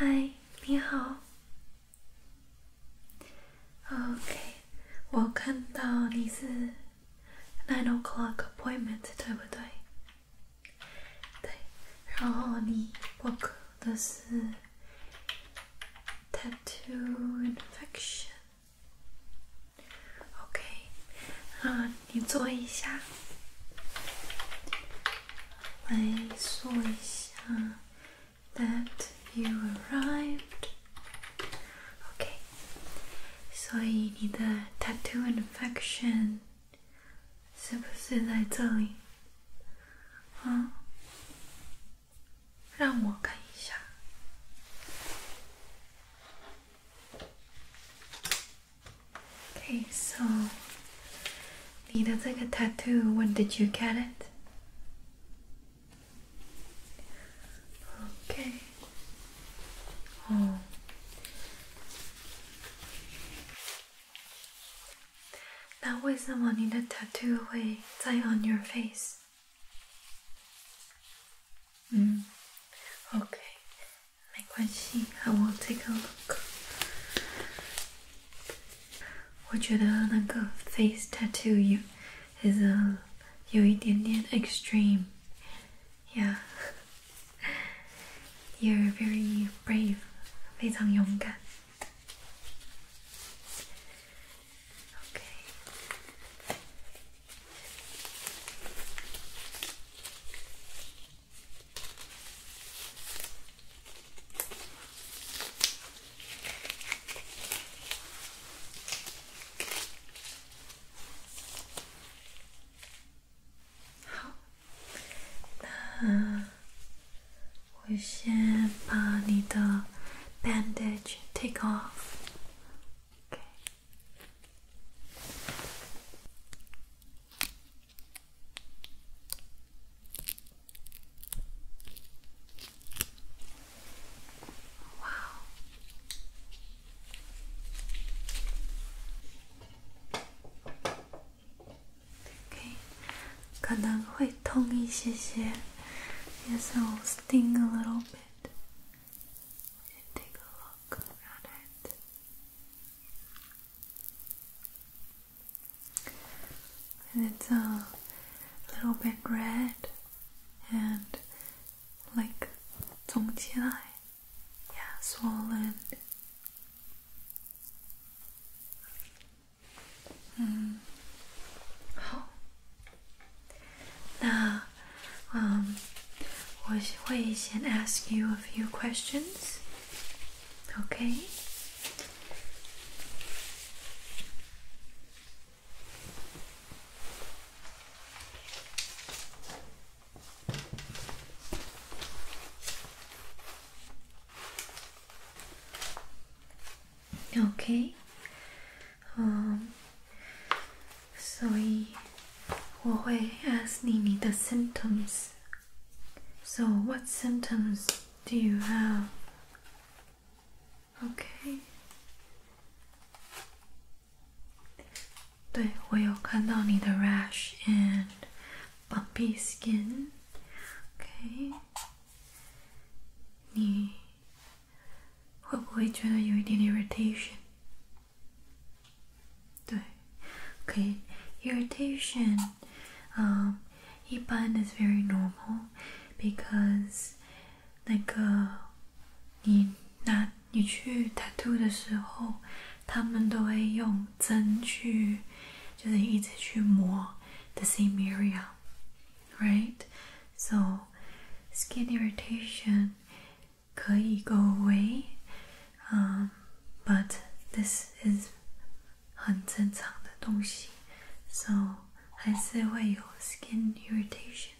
嗨，你好。OK，我看到你是 nine o'clock appointment，对不对？对，然后你 book 的是 tattoo infection。OK，啊，你坐一下，来说一下 that you need arrived。OK，所以你的 tattoo infection。是不是在这里？嗯，让我看一下。Okay, so 你的这个 tattoo, when did you get it? Okay. Oh. 那为什么你的 tattoo 会在 on your face? Okay. face？嗯，OK，没关系，I will take a look. look。我觉得那个 face tattoo is a 有一点点 Yeah. You're very brave，非常勇敢。Okay. 那我先把你的 bandage take off。哇哦！OK，可能会痛一些些，Yes, it'll sting a little bit. We take a look at it. And it's a little bit red and like swollen. Mm. 好，那 oh. um ask you a few questions. Okay. Okay. Um, so 以我会 ask the symptoms. So what symptoms do you have? Okay. 对，我有看到你的 rash and bumpy skin. Okay, irritation? OK，你会不会觉得有一点点 um, irritation？对，OK，irritation，嗯，一般 is very normal because 那个你拿你去 uh, tattoo 的时候。他们都会用针去，就是一直去磨 the same area, right? So skin irritation could go away, um, but this is 很正常的东西，so 还是会有 skin irritation。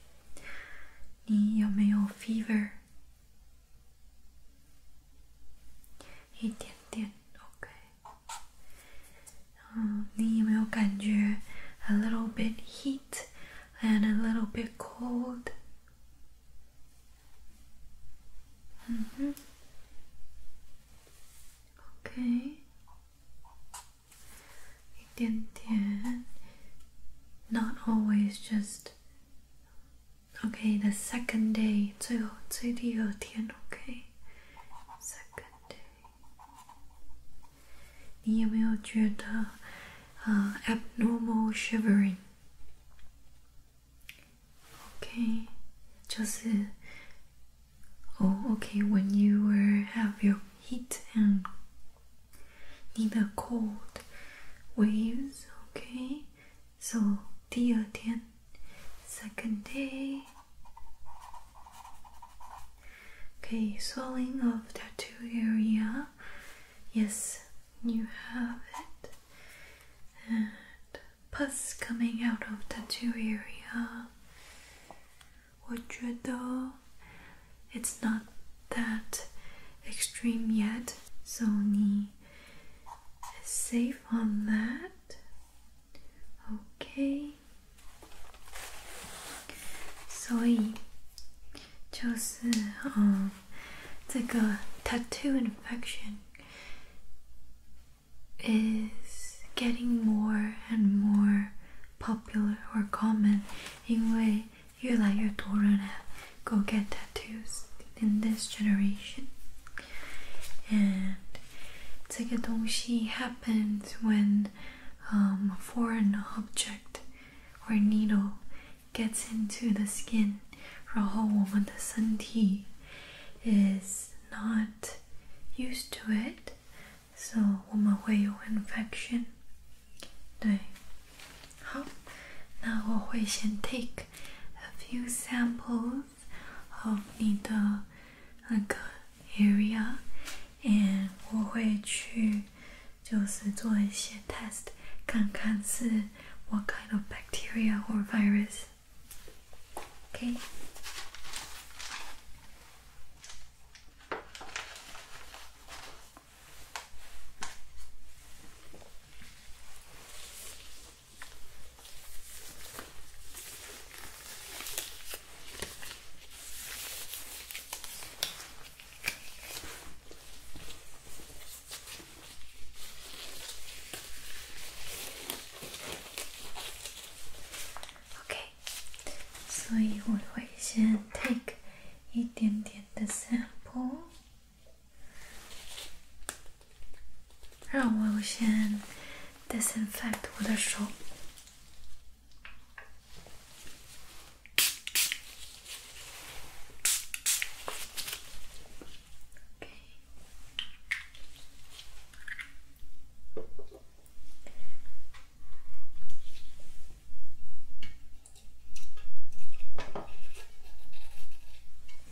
你有没有 fever？一点点，OK。嗯，你有没有感觉 um, a little bit heat and a little bit cold？嗯哼，OK。一点点，not mm-hmm. always just Okay, the second day. 最后最第二天，OK。Second day。你有没有觉得呃 uh, abnormal oh, when you were have your heat and 你的 cold waves. Okay, waves，OK。So 第二天。second day. Okay, swelling of tattoo area. Yes, you have it. And pus coming out of tattoo area. 我觉得 it's not that extreme yet. So 你 safe on that. Okay. So, 就是嗯，这个 um, tattoo infection is getting more and more popular or common，因为越来越多人 go get tattoos in this generation. And 这个东西 happens when um, a foreign object or needle gets into the skin. 然后我们的身体 is not used to it, so 我们会有 infection. 对，好，那我会先 take a few samples of and will just do 你的那个 area，嗯，我会去就是做一些 see what kind of bacteria or virus. Okay. OK，所以我会先 take 一点点的 sample。让我先 disinfect 我的手。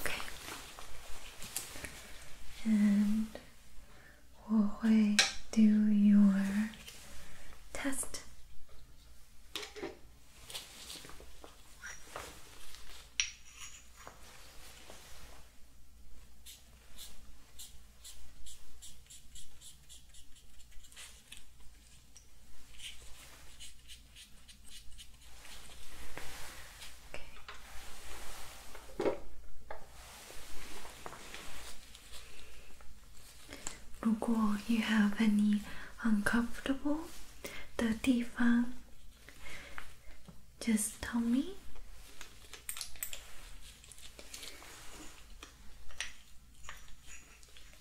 Okay. And we'll do your test. Okay. 如果 you have any uncomfortable just tell me.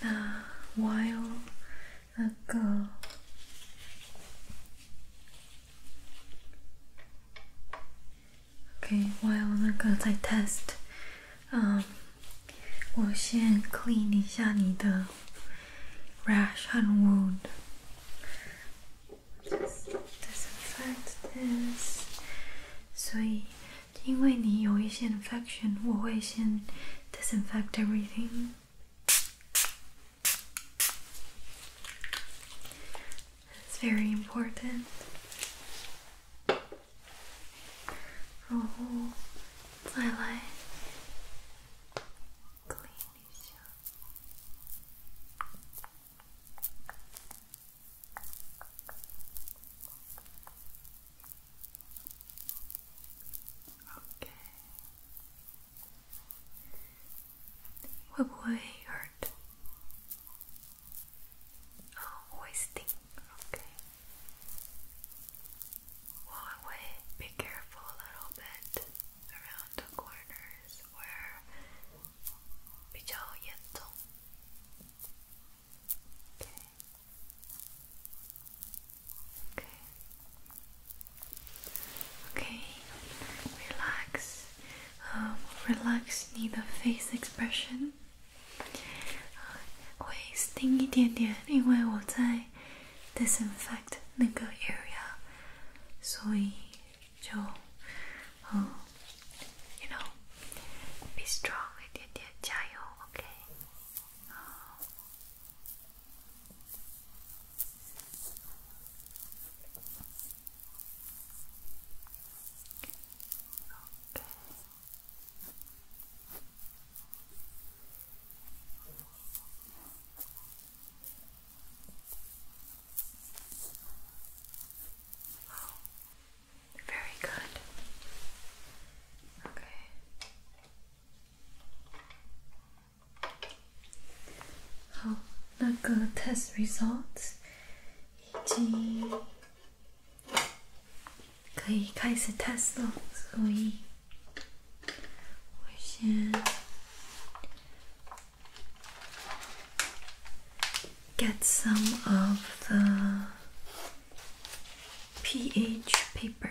Uh, a while ago, okay. While ago 在 test，嗯，我先 um, clean 一下你的 rash and wound. Just disinfect this. So, 所以，因为你有一些 infection，我会先 disinfect everything. It's very important. 然后再来。Okay. What way hurt? Oh, wasting. Okay. Walk away. Be careful a little bit around the corners where Okay. Okay. Okay. Relax. Um, relax 你的 face expression。会、uh, 硬一点点，因为我在 disinfect 那个 area，所以就嗯，you be strong 一点点，加油，OK。Okay. Oh, very good. Okay. Oh, 那个 test results 已经可以开始 test 了，所以。我先 get some of the pH paper.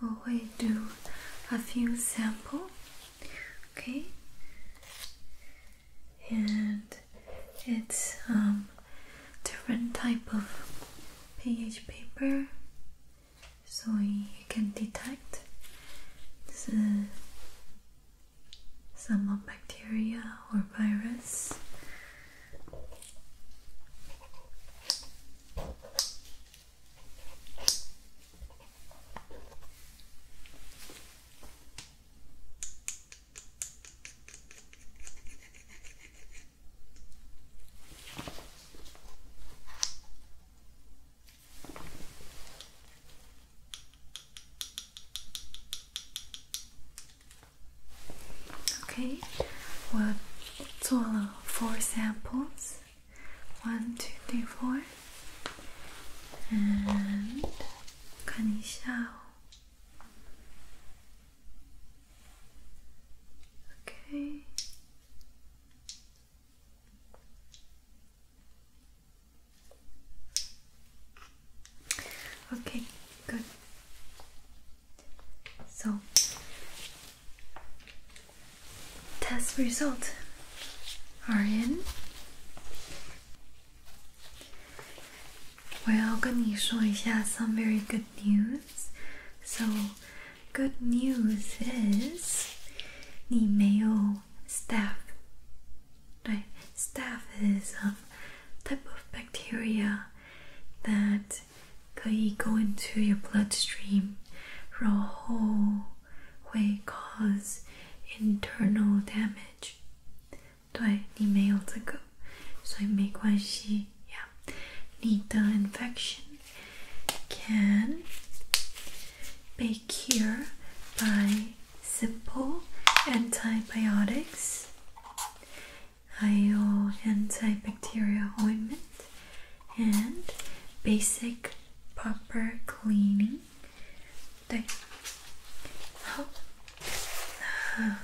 我会 do a few sample, okay? And it's um different type of pH paper, so you can detect. 是 some of bacteria or virus. Okay, we'll swallow four samples one, two, three, four. And can you 看一下哦。Okay. Okay, good. So, test results are in. Well, to 我要跟你说一下 some very good news. So, good news is 你没有 staff like staph is a type of bacteria that could go into your bloodstream for a whole way cause internal damage 对你没有这个所以没关系 yeah 你的 infection can be cured by simple antibiotics IO antibacterial ointment and basic proper cleaning I 对好那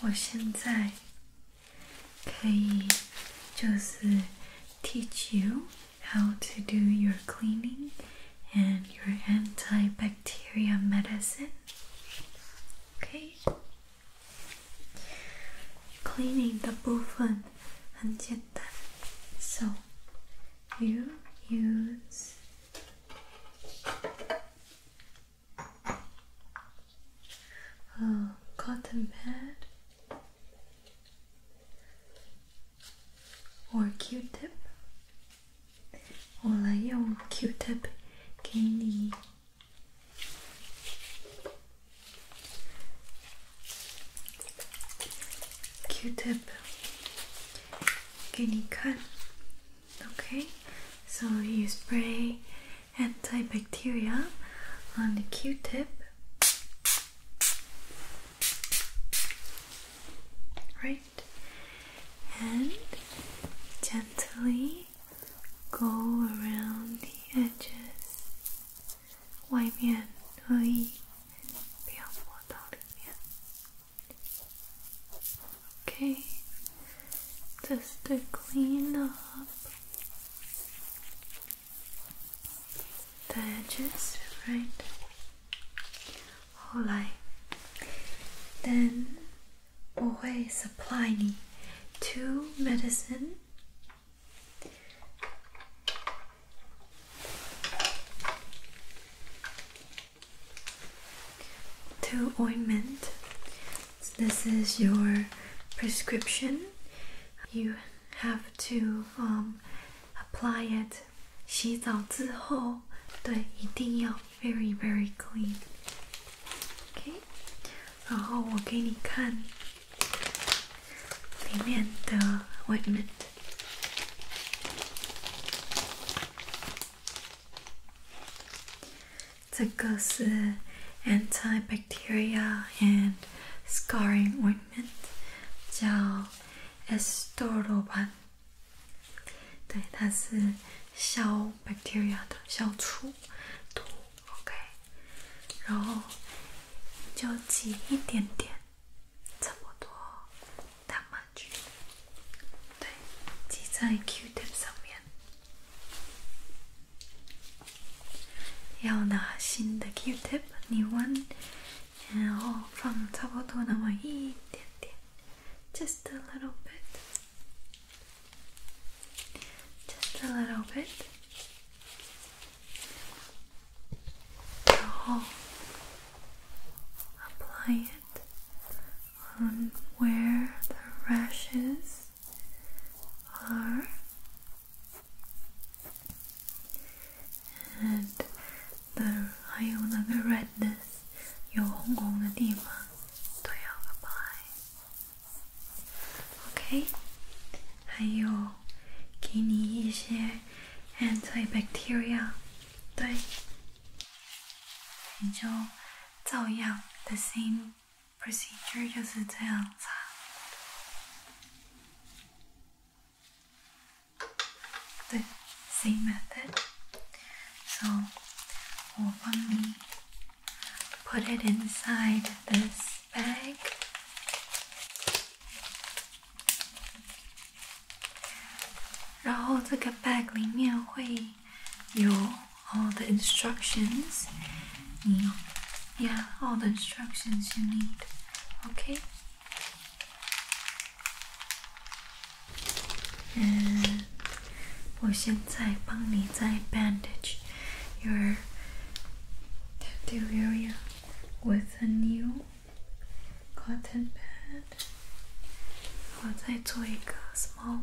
我现在可以就是 uh, teach you how to do your cleaning and your antibacterial bacteria medicine. Okay. cleaning the and jetta. So you use a cotton pad or q-tip 我来用 q-tip 给你，q-tip 给你看，okay? So you spray antibacterial on the q-tip. Right? and gently go around the edges. Okay, just to clean up the edges, right? Alright. 后来，then 我会 supply 你 two medicine。Two ointment. this is your prescription. You have to um, apply it 洗澡之后，对，一定要 very very clean。OK，然后我给你看里面的 ointment。这个是 antibacteria and scarring ointment，叫 Estorban。对，它是消 bacteria 的，消除毒，OK。然后就挤一点点，这么多大 h 菌，对，挤在 Q tip 上面。要拿新的 Q tip，你问。And all from just a little bit, just a little bit. So apply it on where the rashes are and 的还有那个 redness 有红红的地方都要 apply，OK？、Okay? 还有给你一些 antibacterial，对，你就照样 the same procedure 就是这样擦。the same method. So we'll put it inside this bag. bag 里面会有 all the instructions. 你 yeah, all the instructions you need. Okay. And 我现在帮你再 bandage your tattoo area with a new cotton pad. a small one.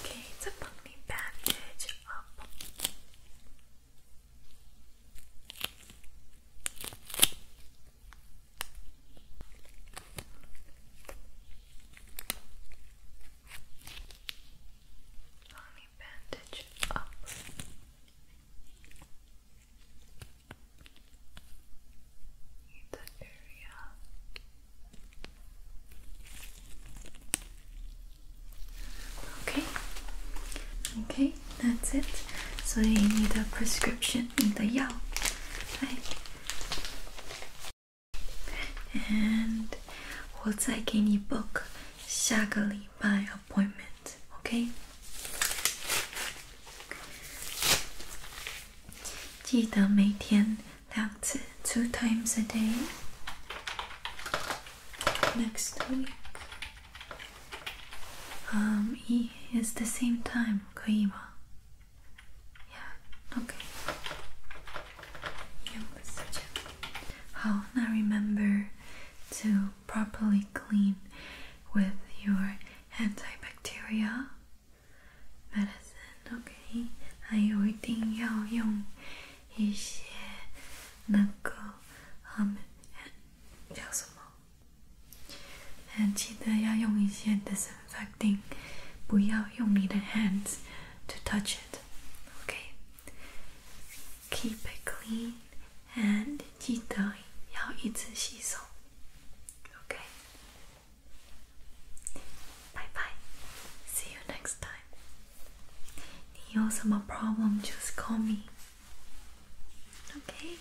Okay, it's a pumpkin bandage up. Let bandage up the area. Okay, okay, that's it. So you need a prescription in the Yao. Right. And 我再给你 book 下个礼拜 appointment, two times a day. Next week, um, it is the same time, Yeah, okay. Now remember to properly clean with your antibacterial medicine. OK，还有一定要用一些那个嗯，叫什么？嗯，记得要用一些 disinfecting，不要用你的 hands to touch it. Okay, keep it clean and 记得要一直洗手。Okay. Bye bye. See you next time. you have 你有什么 problem just call me. Okay.